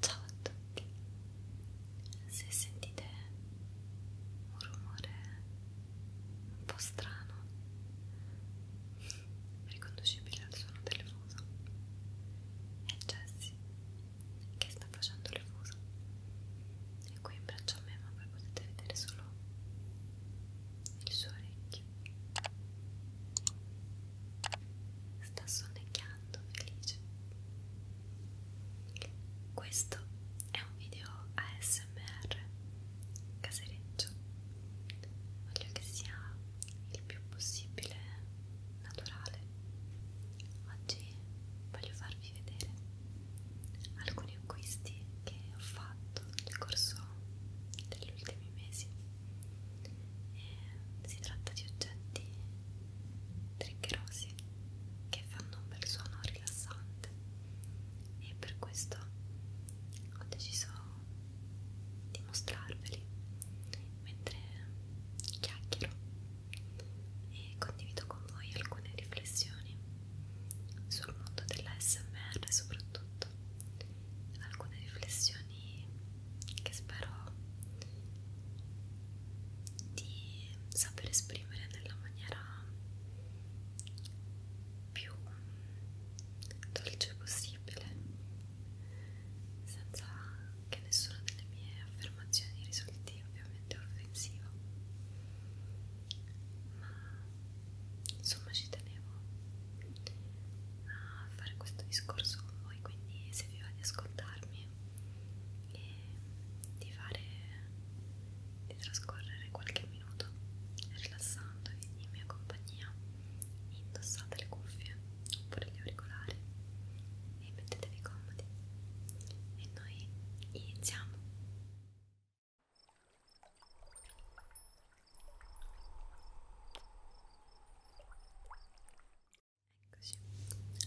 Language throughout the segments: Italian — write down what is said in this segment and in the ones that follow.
Ciao a tutti, se sentite un rumore un po' strano, riconducibile al suono del fuso, è Jessie che sta facendo il fuso. E qui in braccio a me, ma voi potete vedere solo il suo orecchio sta sonnecchiando felice questo è un video ASMR casereccio voglio che sia il più possibile naturale oggi voglio farvi vedere alcuni acquisti che ho fatto nel corso degli ultimi mesi e eh, si tratta di oggetti triggerosi che fanno un bel suono rilassante e per questo ho deciso di mostrarveli mentre chiacchiero e condivido con voi alcune riflessioni sul mondo della SMR soprattutto alcune riflessioni che spero di saper esprimere nella maniera più dolce possibile senza che nessuna delle mie affermazioni risulti ovviamente offensiva ma insomma ci tenevo a fare questo discorso con voi quindi se vi va di ascoltarmi e di fare di trascorrere qualche minuto rilassandovi in mia compagnia indossate le cuffie oppure gli auricolari e mettetevi comodi e noi iniziamo Eccoci.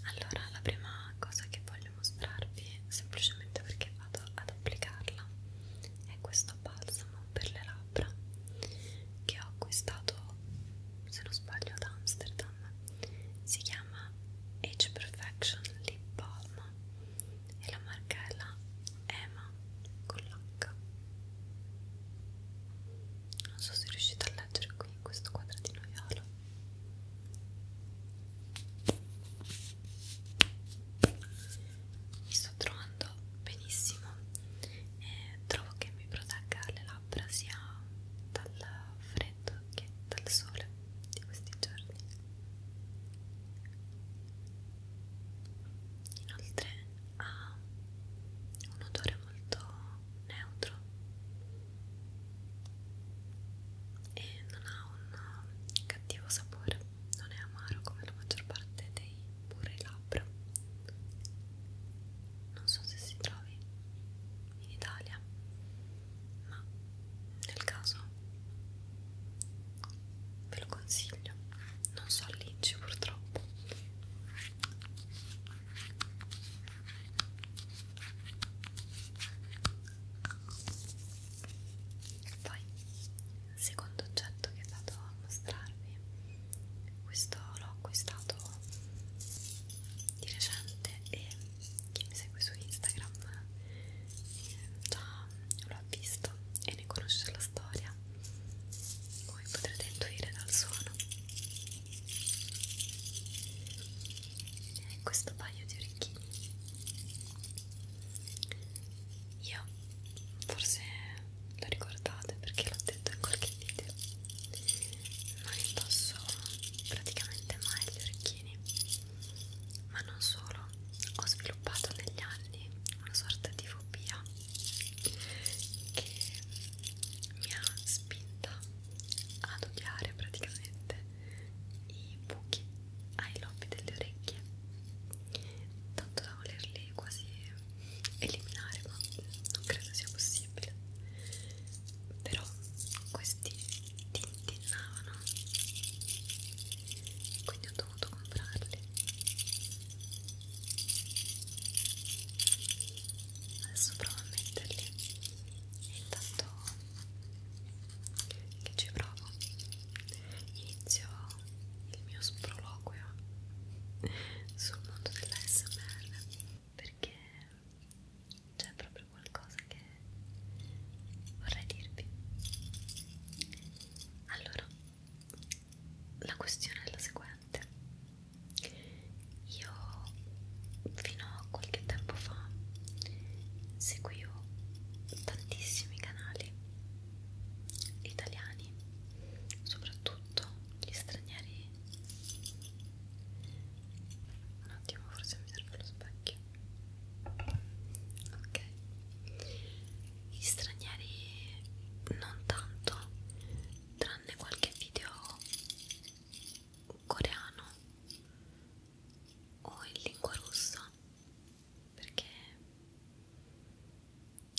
Allora, la prima cosa che voglio mostrarvi, semplicemente perché vado ad applicarla, è questo balsamo per le labbra che ho acquistato, se non sbaglio, ad Amsterdam. Si chiama Age Perfection Lip Balm e la marca è la EMA con l'H non so se riuscite a leggere qui in questo quadratino viola mi sto trovando benissimo e trovo che mi protegga le labbra sia dal freddo che dal sole di questi giorni inoltre ha un odore molto neutro e non ha un cattivo sapore, non è amaro come la maggior parte dei burri labbra. Non so se si trovi in Italia, ma nel caso ve lo consiglio. Non so all'inci purtroppo. Poi, secondo oggetto che vado a mostrarvi, questo l'ho acquistato di recente e chi mi segue su Instagram eh, già lo ha visto e ne conosce la storia come potrete intuire dal suono e questo paio di orecchini io forse lo ricordate perché l'ho detto in qualche video non indosso praticamente mai gli orecchini ma non solo ho sviluppato negli anni una sorta di fobia che mi ha spinta ad odiare praticamente i buchi ai lobi delle orecchie tanto da volerli quasi eliminare ma non credo sia possibile però questi tintinnavano quindi ho dovuto comprarli adesso provo a metterli e intanto che ci provo inizio il mio sproloquio sul mondo dell'ASMR perché c'è proprio qualcosa che vorrei dirvi allora la questione è la seguente io fino a qualche tempo fa seguivo tantissimi canali italiani soprattutto gli stranieri un attimo forse mi serve lo specchio ok gli stranieri non tanto tranne qualche video coreano o in lingua russa perché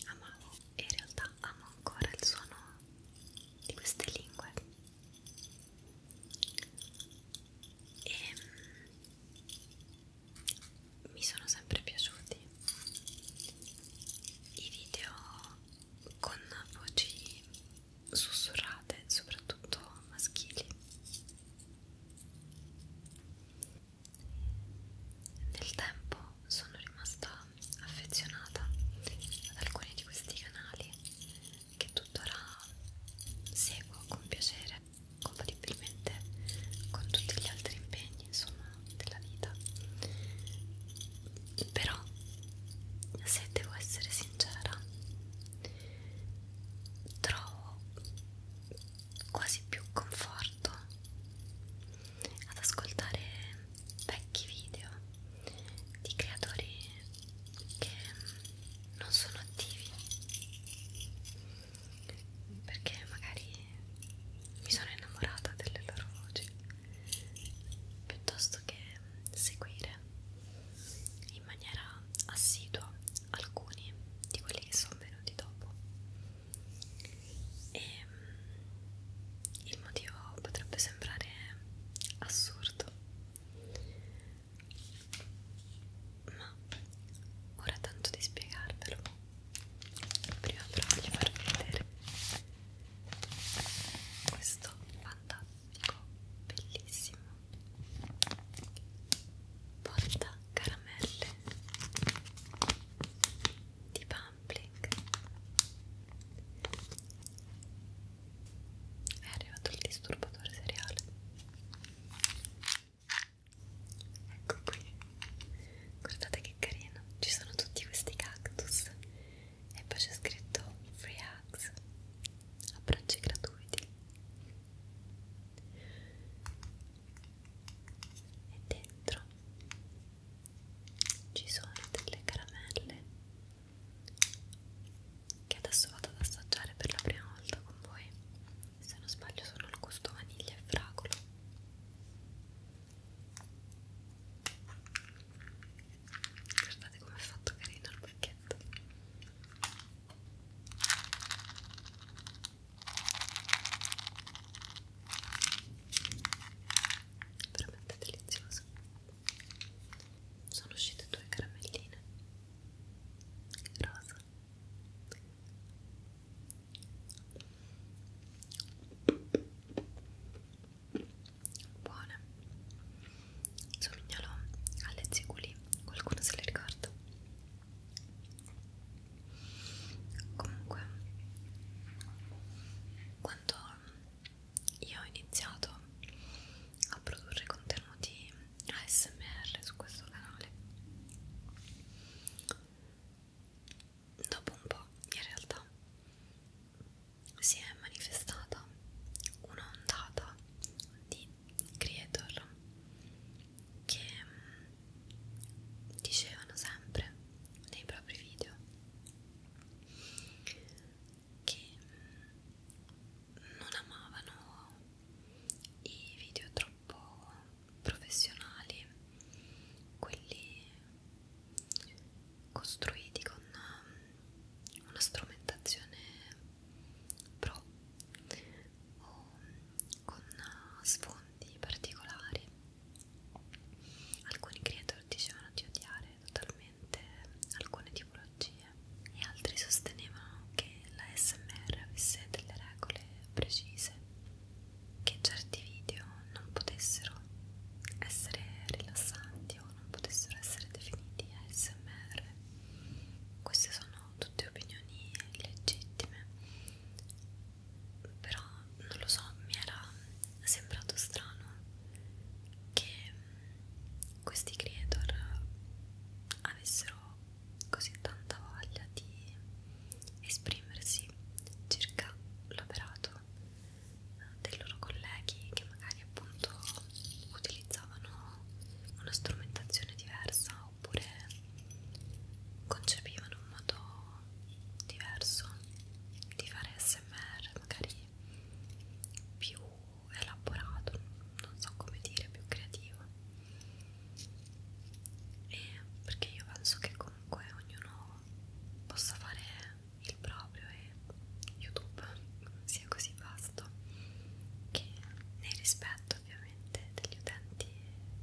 amavo e in realtà amo ancora il suono di queste lingue e ehm, mi sono sempre piaciuti i video con voci sussurrate, soprattutto maschili. Nel tempo sono rimasta affezionata ad alcuni di questi canali che tuttora seguo con piacere compatibilmente con tutti gli altri impegni insomma della vita però se devo essere sincera trovo quasi più conforto ad ascoltare vecchi video di creatori che non sono attivi perché magari mi sono innamorata delle loro voci piuttosto che seguire in maniera assidua alcuni di quelli che sono venuti dopo e mm, il motivo potrebbe sembrare assurdo ma ora tanto di spiegarvelo prima però voglio farvi vedere questo fantastico bellissimo porta caramelle di Pampling è arrivato il disturbatore seriale ecco qui guardate che carino ci sono tutti questi cactus e poi c'è scritto free hugs abbracci gratuiti e dentro ci sono delle caramelle che adesso vado ad assaggiare per la prima volta con voi se non sbaglio sono al gusto vaniglia e fragolo guardate come è fatto carino il pacchetto veramente delizioso sono uscite due caramelline rosa buone somigliano alle ziguli qualcuno se le ricorda comunque quando io ho iniziato a produrre contenuti ASMR su questo canale dopo un po' in realtà si è manifestata un'ondata di creator che mm, dicevano sempre nei propri video che mm, non amavano i video troppo un po' professionali, quelli costruiti con um, una strumentazione pro o con uh, sfondi particolari. Alcuni creatori dicevano di odiare totalmente alcune tipologie e altri sostenevano che la SMR avesse delle regole precise, che certi video non potessero essere rilassanti o non potessero essere definiti ASMR. Queste sono tutte opinioni legittime, però non lo so, mi era sembrato strano che questi creator avessero così tanta voglia di esprimersi circa l'operato eh, dei loro colleghi che magari appunto utilizzavano una strumentazione diversa oppure concepivano un modo diverso di fare smr magari più elaborato non so come dire più creativo e perché io penso che comunque ognuno possa fare il proprio e YouTube sia così vasto che nel rispetto ovviamente degli utenti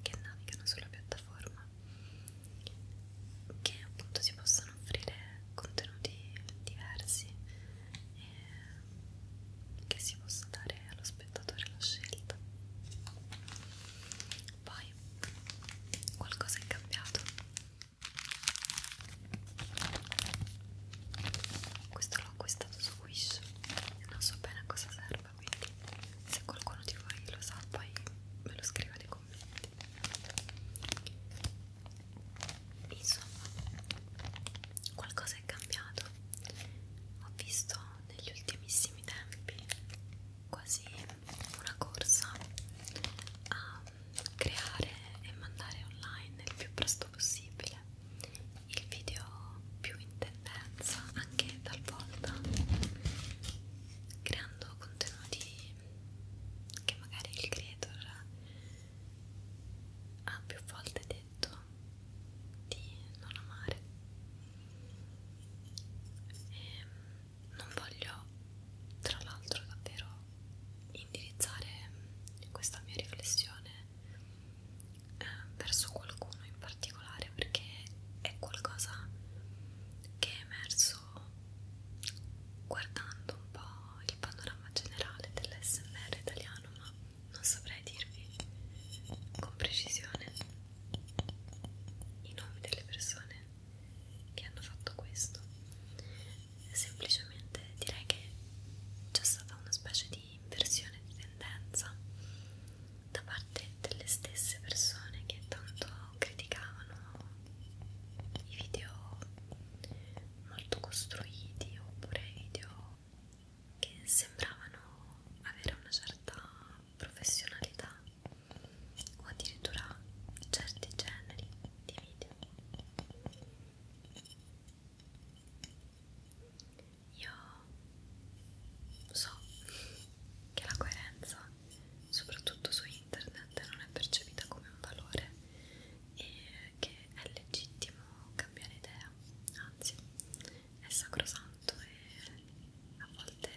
che navigano sulla piattaforma che appunto si possano offrire contenuti diversi e che si possa dare allo spazio spettatore la scelta poi qualcosa è cambiato questo l'ho acquistato su Wish e non so bene a cosa serva quindi se qualcuno di voi lo sa poi me lo scriva nei commenti insomma qualcosa è cambiato ho visto negli ultimissimi tempi quasi una corsa a creare e mandare online il più presto possibile il video più in tendenza anche talvolta creando contenuti che magari il creator ha più volte detto di non amare e ehm, non voglio tra l'altro davvero indirizzare questa mia riflessione eh, verso qualcuno in particolare perché è qualcosa che è emerso guardando un po' il panorama generale dell'SMR italiano ma non saprei dirvi con precisione i nomi delle persone che hanno fatto questo semplicemente direi che c'è stata una specie di inversione di tendenza da parte delle stesse persone che tanto criticavano i video molto costruiti oppure i video che sembravano avere una certa professionalità o addirittura certi generi di video. Io so che la coerenza, soprattutto su internet, non è percepita come un valore e che è legittimo cambiare idea, anzi è sacrosanto e a volte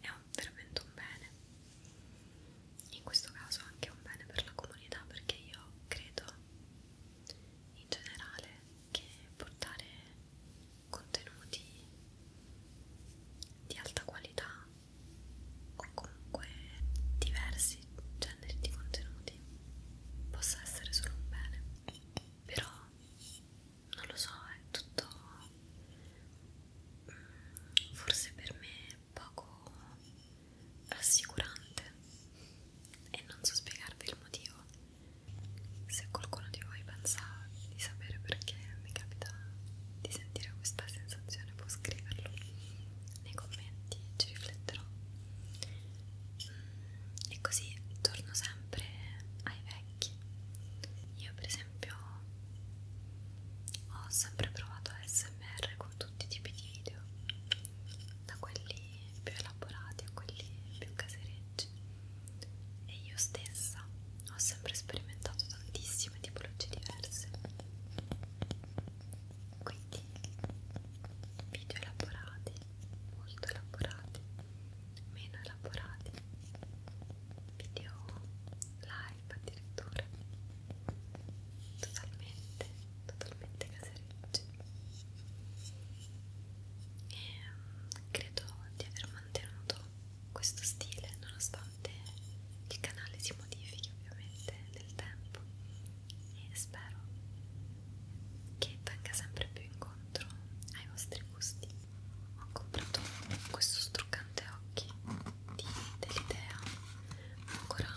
è un, veramente un bene. In questo caso anche un bene per la comunità perché io credo in generale che portare contenuti di alta qualità o comunque diversi questi generi di contenuti possa essere solo un bene però non lo so è tutto mm, forse per me poco rassicurante e non so spiegarvi il motivo se qualcuno di voi pensa di sapere perché mi capita di sentire questa sensazione può scriverlo nei commenti ci rifletterò mm, e così torno sempre ai vecchi io per esempio ho sempre provato ASMR con tutti i tipi di video da quelli più elaborati a quelli più casereggi e io stessa ho sempre sperimentato tantissime tipologie diverse quindi video elaborati, molto elaborati, meno elaborati, video live addirittura, totalmente, totalmente caserecci. E ehm, credo di aver mantenuto questo stile nonostante il canale si modifichi ovviamente nel tempo e spero che venga sempre più incontro ai vostri gusti. Ho comprato questo struccante occhi di Dell'idea, ancora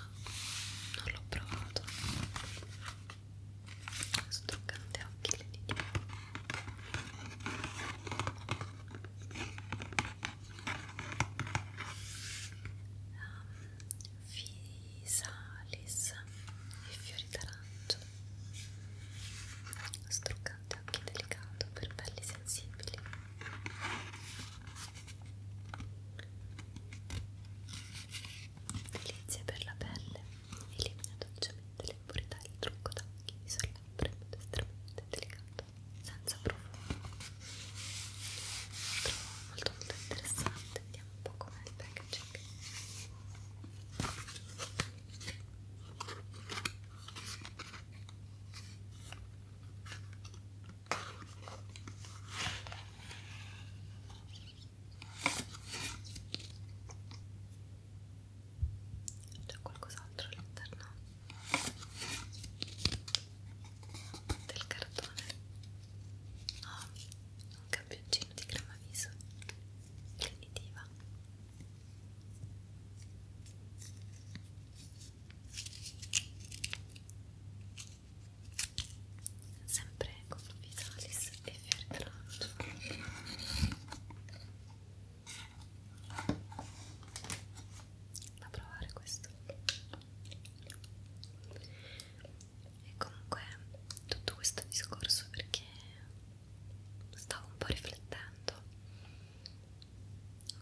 non l'ho provato. Struccante occhi dell'idea. Um, vi salis e fiori d'arancio struccante occhi delicato per pelli sensibili delizie per la pelle elimina dolcemente l'impurità e il trucco d'occhi di sorlabbra in modo estremamente delicato senza profumo lo trovo molto molto interessante andiamo un po' come il packaging c'è qualcos'altro all'interno del cartone oh, un campioncino di crema viso definitiva sempre con Vitalis e Fertrancio da provare questo e comunque tutto questo discorso perché stavo un po' riflettendo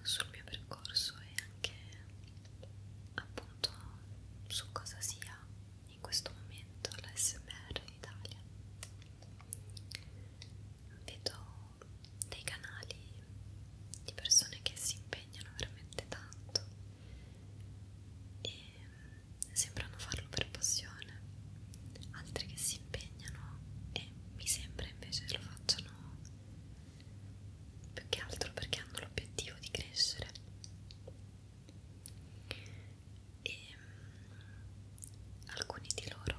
sul mio percorso e anche appunto su cosa sia in questo momento l'ASMR in Italia vedo dei canali di persone che si impegnano veramente tanto e mm, sembrano farlo per passione, altri che si impegnano e mi sembra invece lo facciano più che altro perché hanno l'obiettivo di crescere. E mm, alcuni di loro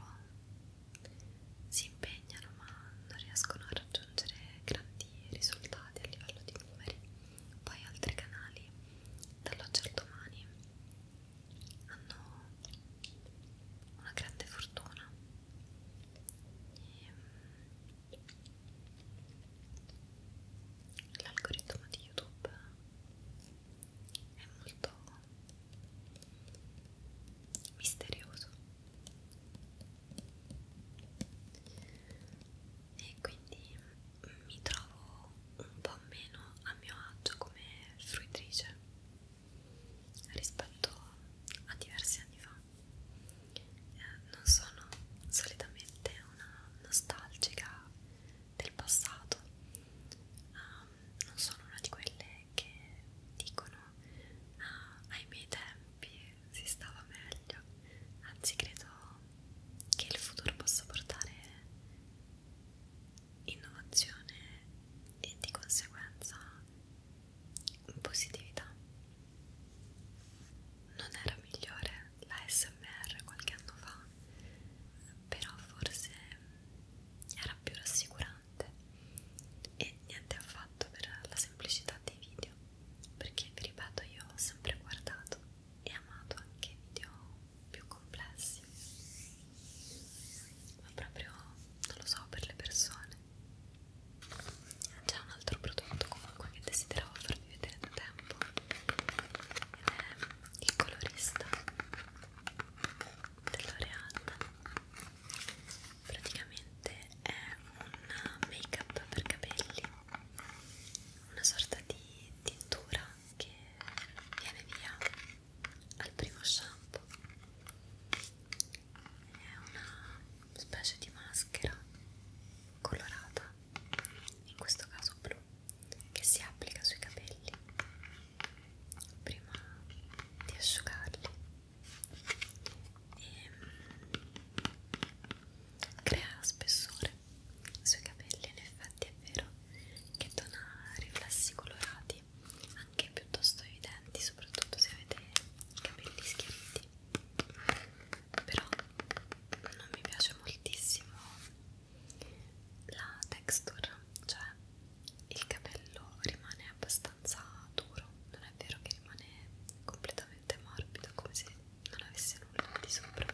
si impegnano ma non riescono a raggiungere grandi risultati a livello di Discovery, poi altri canali dall'oggi al domani hanno una grande fortuna ehm, l'algoritmo di YouTube è molto misterioso e quindi mi trovo un po' meno a mio agio come fruitrice rispetto a diversi anni fa eh, non sono solitamente una nostalgica del passato um, non sono una di quelle che dicono ah, ai miei tempi si stava meglio anzi credo che il futuro possa portare innovazione e di conseguenza positività non era migliore la SMR qualche anno fa però forse era più rassicurante e niente affatto per la semplicità dei video perché vi ripeto io ho sempre guardato e amato anche video più complessi ma proprio non lo so per le persone c'è un altro prodotto comunque che desideravo farvi vedere da tempo ed è il colorista dell'Oreal praticamente è un make up per capelli una sorta di tintura che viene via al primo shampoo è una specie di maschera colorata in questo caso blu che si applica sui capelli prima di asciugarli e mm, crea spessore sui capelli in effetti è vero che dona riflessi colorati anche piuttosto evidenti soprattutto se avete capelli schiariti però non mi piace moltissimo la texture cioè il capello rimane abbastanza abbastanza duro, non è vero che rimane completamente morbido come se non avesse nulla di sopra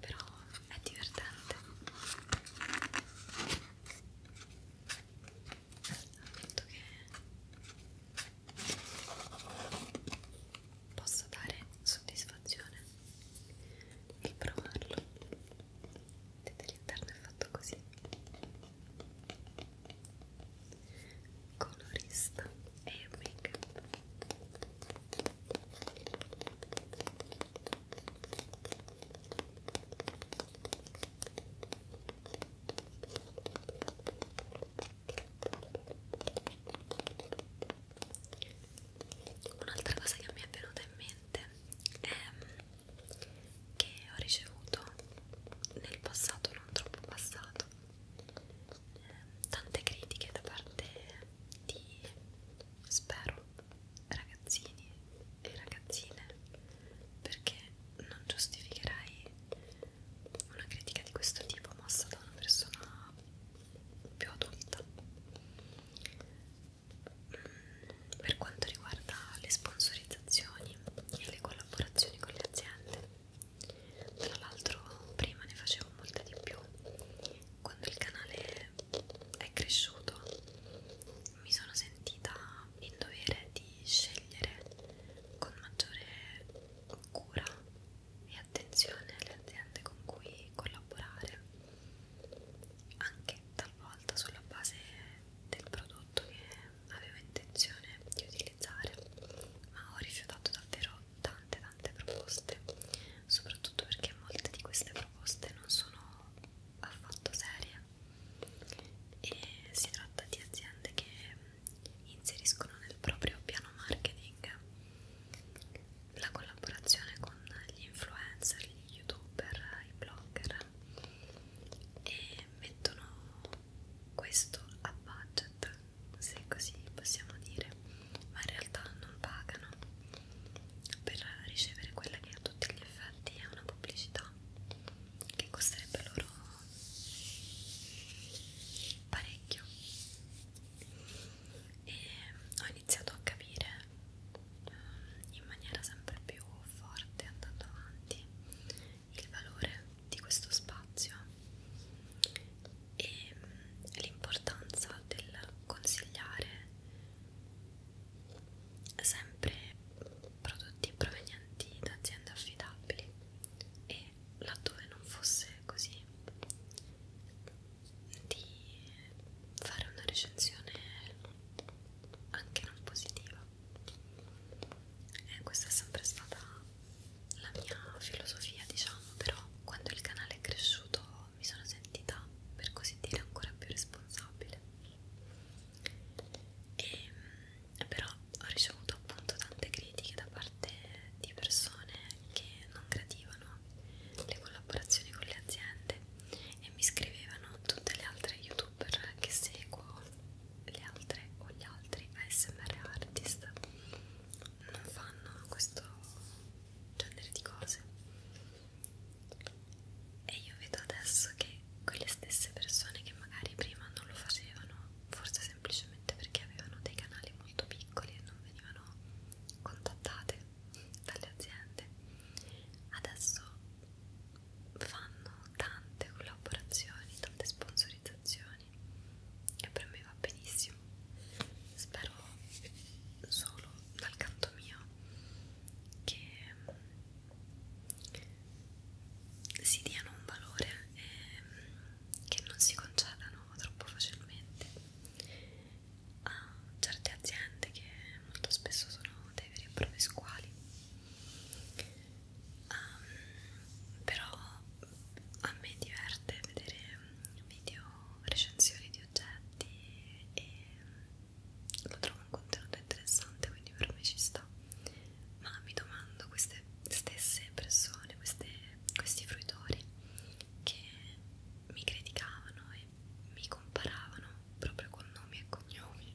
però è divertente appunto che posso dare soddisfazione nel provarlo vedete l'interno è fatto così colorista e make up Un'altra cosa che mi è venuta in mente è che ho ricevuto nel passato non troppo passato eh, tante critiche da parte di spero ragazzini e ragazzine perché non giustificherai una critica di questo tipo mossa da una persona più adulta mm per quanto riguarda le sponsorizzazioni e le collaborazioni con le aziende. Tra l'altro prima ne facevo molte di più, quando il canale è cresciuto mi sono sentita in dovere di scegliere con maggiore cura e attenzione le aziende con cui collaborare, anche talvolta sulla base del prodotto che avevo intenzione di utilizzare, ma ho rifiutato davvero tante tante proposte, soprattutto perché molte di queste proposte non sono affatto serie e si tratta di aziende che inseriscono nel proprio piano marketing la collaborazione con gli influencer, gli youtuber, i blogger e mettono questo a budget se così possiamo dire ma in realtà non pagano per ricevere quella che a tutti gli effetti è una pubblicità che costerebbe loro parecchio e ho iniziato a capire in maniera sempre più forte andando avanti il valore di questo spazio e mm, l'importanza del consigliare sempre prodotti provenienti da aziende affidabili e laddove non fosse così di fare una recensione anche non positiva e eh, questa è sempre stata la mia filosofia diciamo però quando il canale è cresciuto mi sono sentita per così dire ancora più responsabile e, ehm, però ho ricevuto appunto tante critiche da parte di persone che non gradivano le collaborazioni con le aziende e mi scrivevano tutte le altre youtuber che seguo le altre o gli altri ASMR artist non fanno questo genere di cose e io vedo adesso che quelle stesse persone che magari prima non lo facevano forse semplicemente perché avevano dei canali molto piccoli e non venivano contattate dalle aziende adesso fanno tante collaborazioni, tante sponsorizzazioni e per me va benissimo. Spero solo dal canto mio che si diano un valore e che non si concedano troppo facilmente a certe aziende che molto spesso sono dai veri e propri squali um, però a me diverte vedere video recensioni di oggetti e lo trovo un contenuto interessante quindi per me ci sta ma mi domando queste stesse persone queste, questi fruitori che mi criticavano e mi comparavano proprio con nomi e cognomi,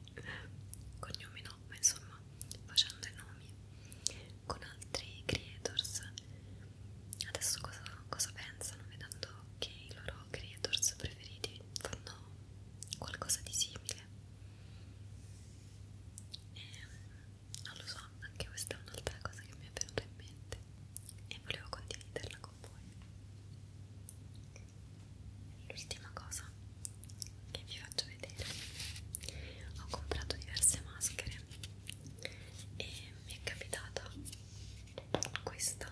cognomi no, ma insomma facendo i nomi con altri creators. Adesso cosa, cosa pensano vedendo che i loro creators preferiti fanno qualcosa di simile? E, non lo so, anche questa è un'altra cosa che mi è venuta in mente e volevo condividerla con voi l'ultima cosa che vi faccio vedere ho comprato diverse maschere e mi è capitata questa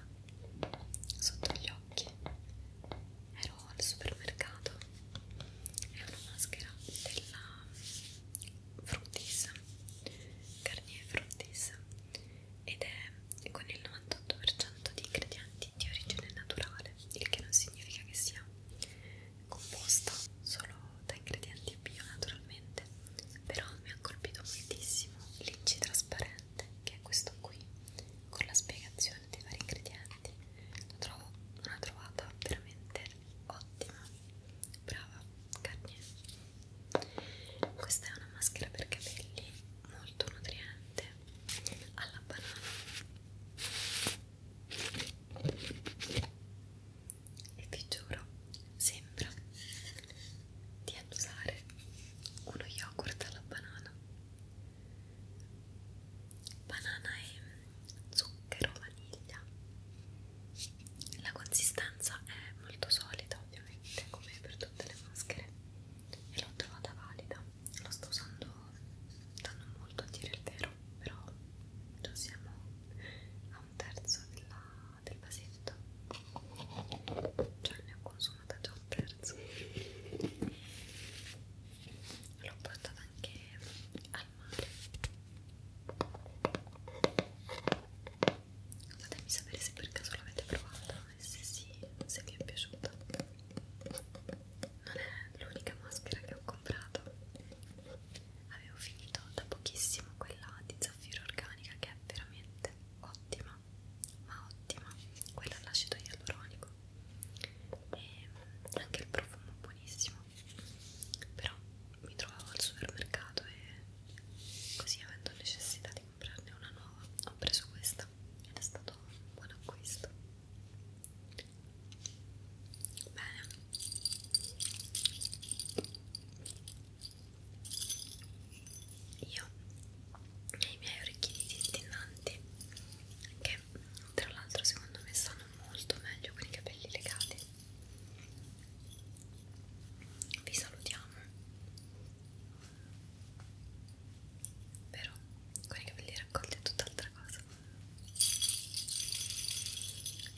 sotto gli occhi ero al supermercato è una maschera della Fructis Garnier Fructis ed è con il 98% di ingredienti di origine naturale, il che non significa che sia composta solo da ingredienti bio naturalmente, però mi ha colpito moltissimo l'inci trasparente che è questo qui con la spiegazione dei vari ingredienti, la trovo una trovata veramente ottima, brava, carne. Questa è una maschera per capelli molto nutriente latte alla banana e vi giuro sembra di annusare uno yogurt alla banana banana e zucchero vaniglia la consistenza è molto solida ovviamente come per tutte le maschere e l'ho trovata valida la sto usando da non molto a dire il vero però già siamo a un terzo della, del vasetto cioè ne ho consumata già un terzo l'ho portata anche al mare fatemi sapere se per caso l'avete provata e se sì, se vi è piaciuta. Non è l'unica maschera che ho comprato. Avevo finito da pochissimo quella di zaffiro organica che è veramente ottima, ma ottima, quella all'acido ialuronico. E anche il profumo è buonissimo. Però mi trovavo al supermercato e così avendo necessità di comprarne una nuova ho preso questa ed è stato un buon acquisto bene io e i miei orecchini tintinnanti che tra l'altro secondo me stanno molto meglio con i capelli legati vi salutiamo però con i capelli raccolti è tutt'altra cosa. E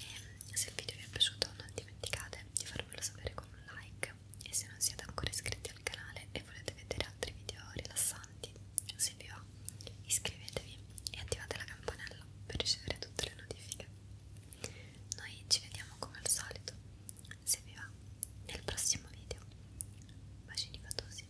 ehm, se il video vi è piaciuto non dimenticate di farmelo sapere con un like e se non siete ancora iscritti al canale e volete vedere altri video rilassanti, se vi va, iscrivetevi e attivate la campanella per ricevere tutte le notifiche. Noi ci vediamo come al solito se vi va nel prossimo video bacini fatosi